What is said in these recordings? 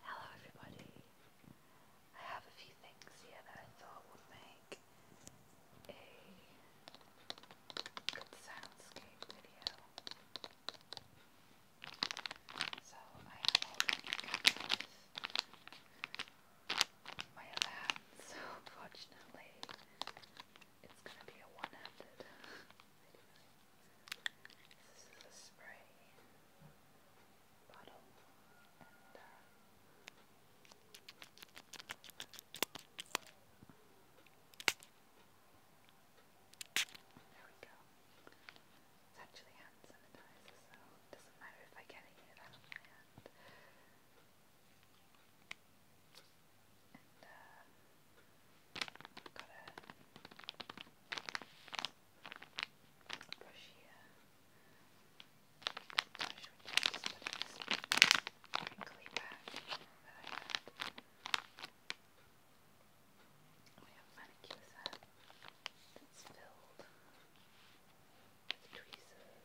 Hello everybody. I have a few things here that I thought would make a good soundscape video. So I am holding with my other so unfortunately it's gonna be a one-handed video. This is a spray bottle, and uh, there we go. It's actually hand sanitizer, so it doesn't matter if I get it out of my hand. And, uh, Got a brush here. That brush which I We have manicure set that's filled with tweezers and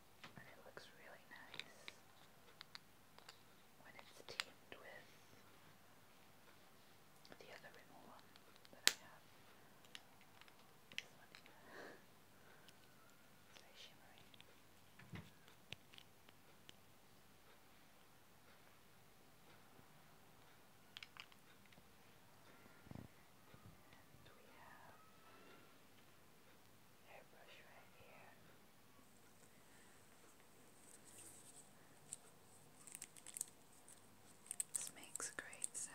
and it looks really nice when it's teamed with the other Rimmel that I have hairbrush right here. makes great sound.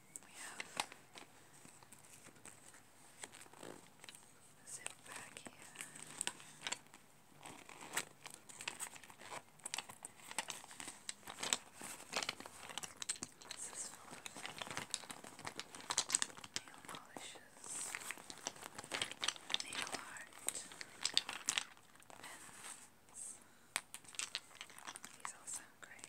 We have a back here. This is nail polishes, nail art, pens. These all sound great.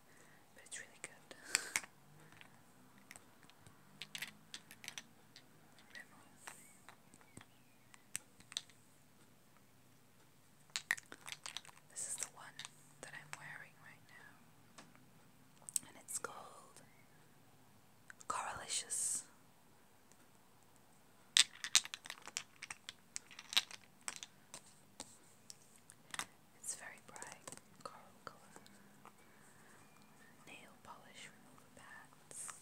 This is the one that I'm wearing right now, and it's called Coralicious. It's very bright coral color. Nail polish remover pads.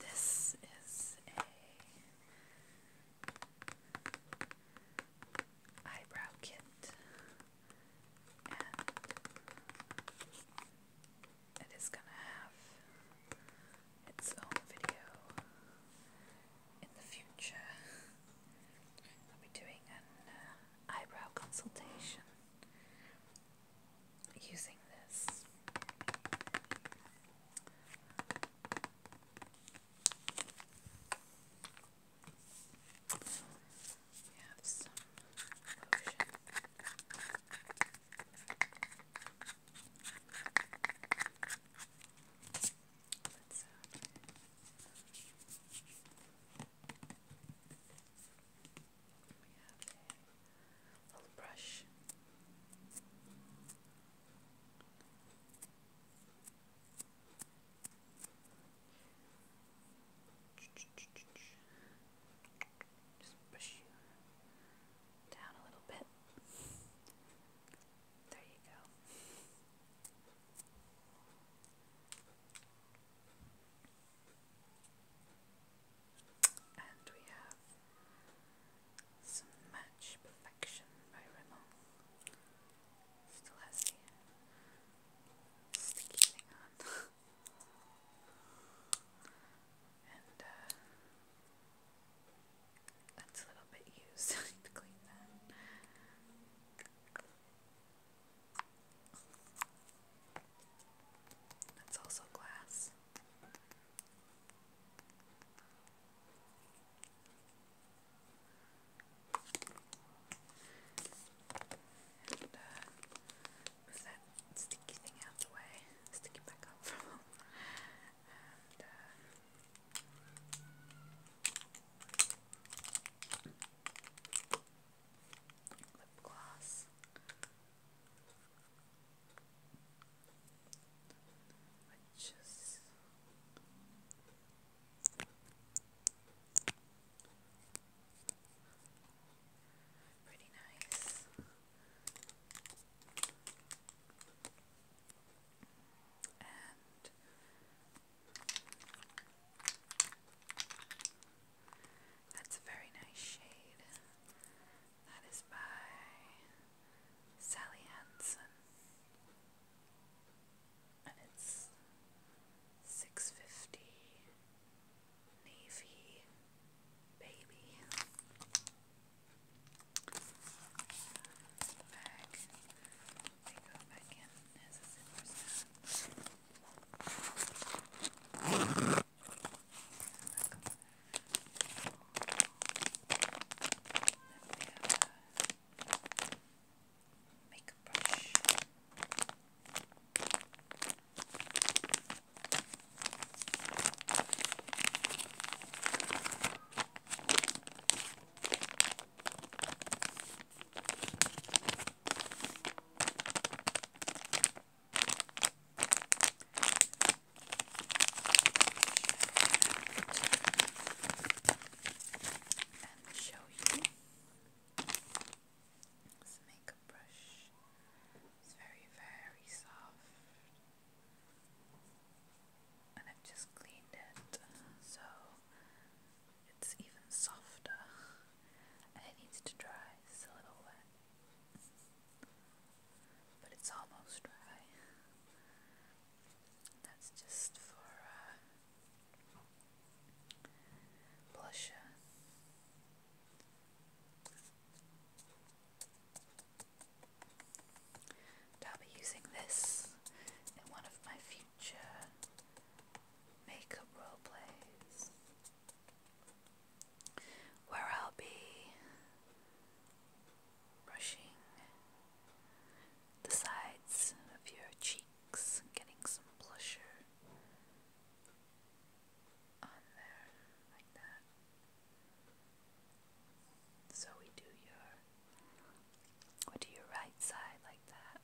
This is a eyebrow kit, and it is going to have its own video in the future. I'll be doing an uh, eyebrow consultation using this. We have some lotion. we have a little brush. Just push you down a little bit. There you go. And we have some match Perfection by Rimmel. Still sticky thing on. and uh, that's a little bit used. to clean that. That's also glass. And uh, that sticky thing out the way, stick it lip gloss. Which Pretty nice. And that's a very nice shade. That is by Sally Hansen it's 650 navy baby the bag they go back in as a zipper sound Then makeup brush show you this makeup brush. It's very, very soft. And I've just cleaned it so it's even softer. it needs to dry, it's a little wet. But it's almost dry. That's just for uh, blusher. And I'll be using this in one of my future makeup role plays where I'll be brushing the sides of your cheeks, getting some blusher on there, like that. So we do your, we do your right side like that.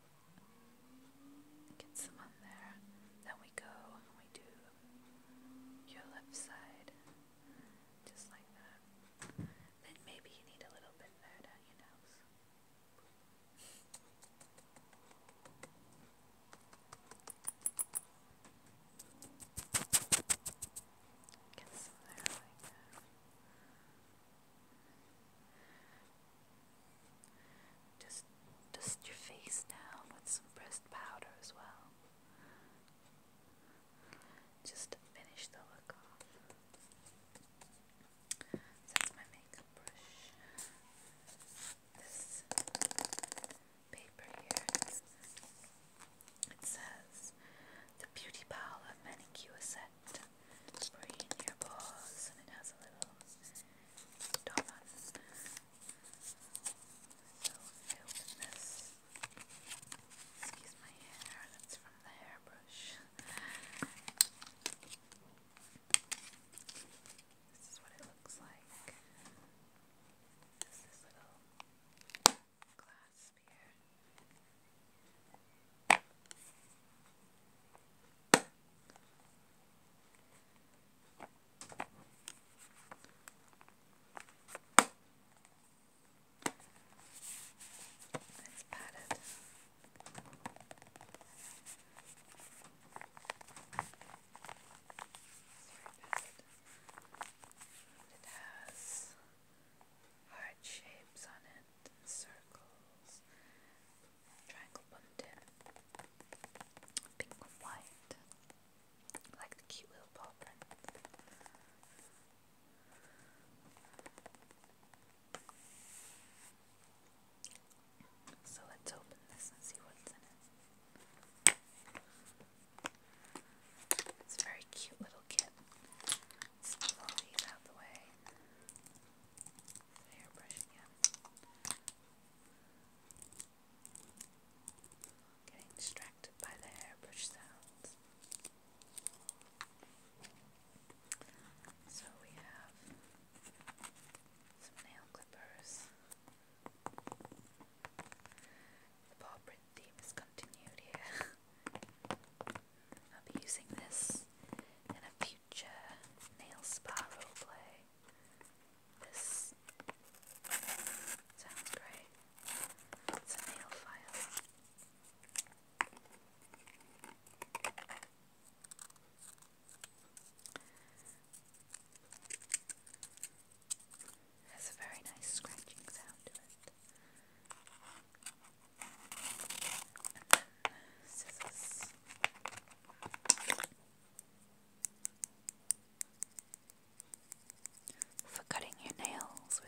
Get some on there. Then we go and we do your left side, just like that. Then maybe you need a little bit dirt on your nose. Get some there like that. Just dust your face down with some pressed powder as well. Just finish the look off. So that's my makeup brush. This paper here. it says the Beauty Parlor Manicure Set. Bring your paws, and it has a little dot on it. So I open this. Excuse my hair. That's from from the hairbrush. this is what it looks like. It's this little clasp here. Let's it. has heart shapes on it, circles, triangle bunting, pink and white, like the cute little paw print. So let's open this and see what's in it. It's a very cute little kit. let all these out the way. The Getting distracted by the hairbrush sounds. So we have some nail clippers. The paw print theme is continued here. I'll be using this in a future nail spa roleplay. This sounds great. It's nail file. Has a very nice scratching sound to it. scissors. For cutting your nails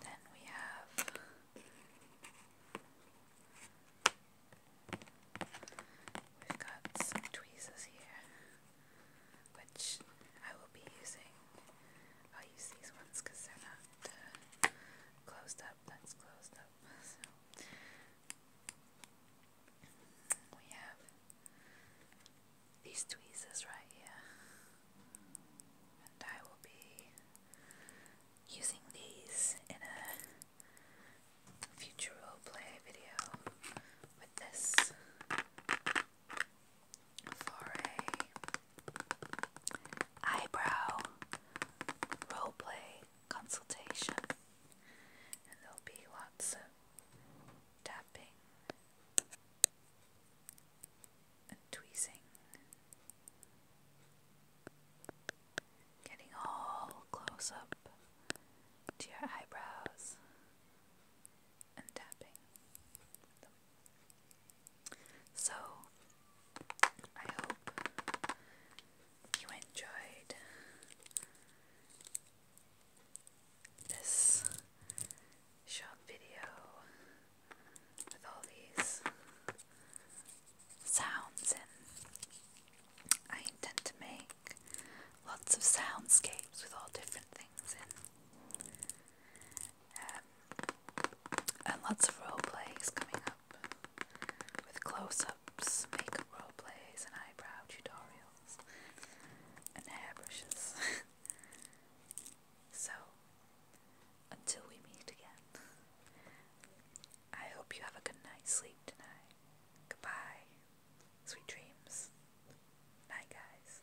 then we have we've got some tweezers here, which I will be using i use these ones because they're not uh, closed up. That's closed up. So we have these tweezers right here, and I will be using these in a future play video with this for a eyebrow roleplay consultation and there'll be lots of tapping and tweezing getting all close up to your eyebrows and tapping So, I hope you enjoyed this short video with all these sounds in. I intend to make lots of soundscapes with all different things in. Um, and lots of role plays coming up with close ups, makeup role plays, and eyebrow tutorials and hairbrushes. so, until we meet again, I hope you have a good night's sleep tonight. Goodbye. Sweet dreams. Night, guys.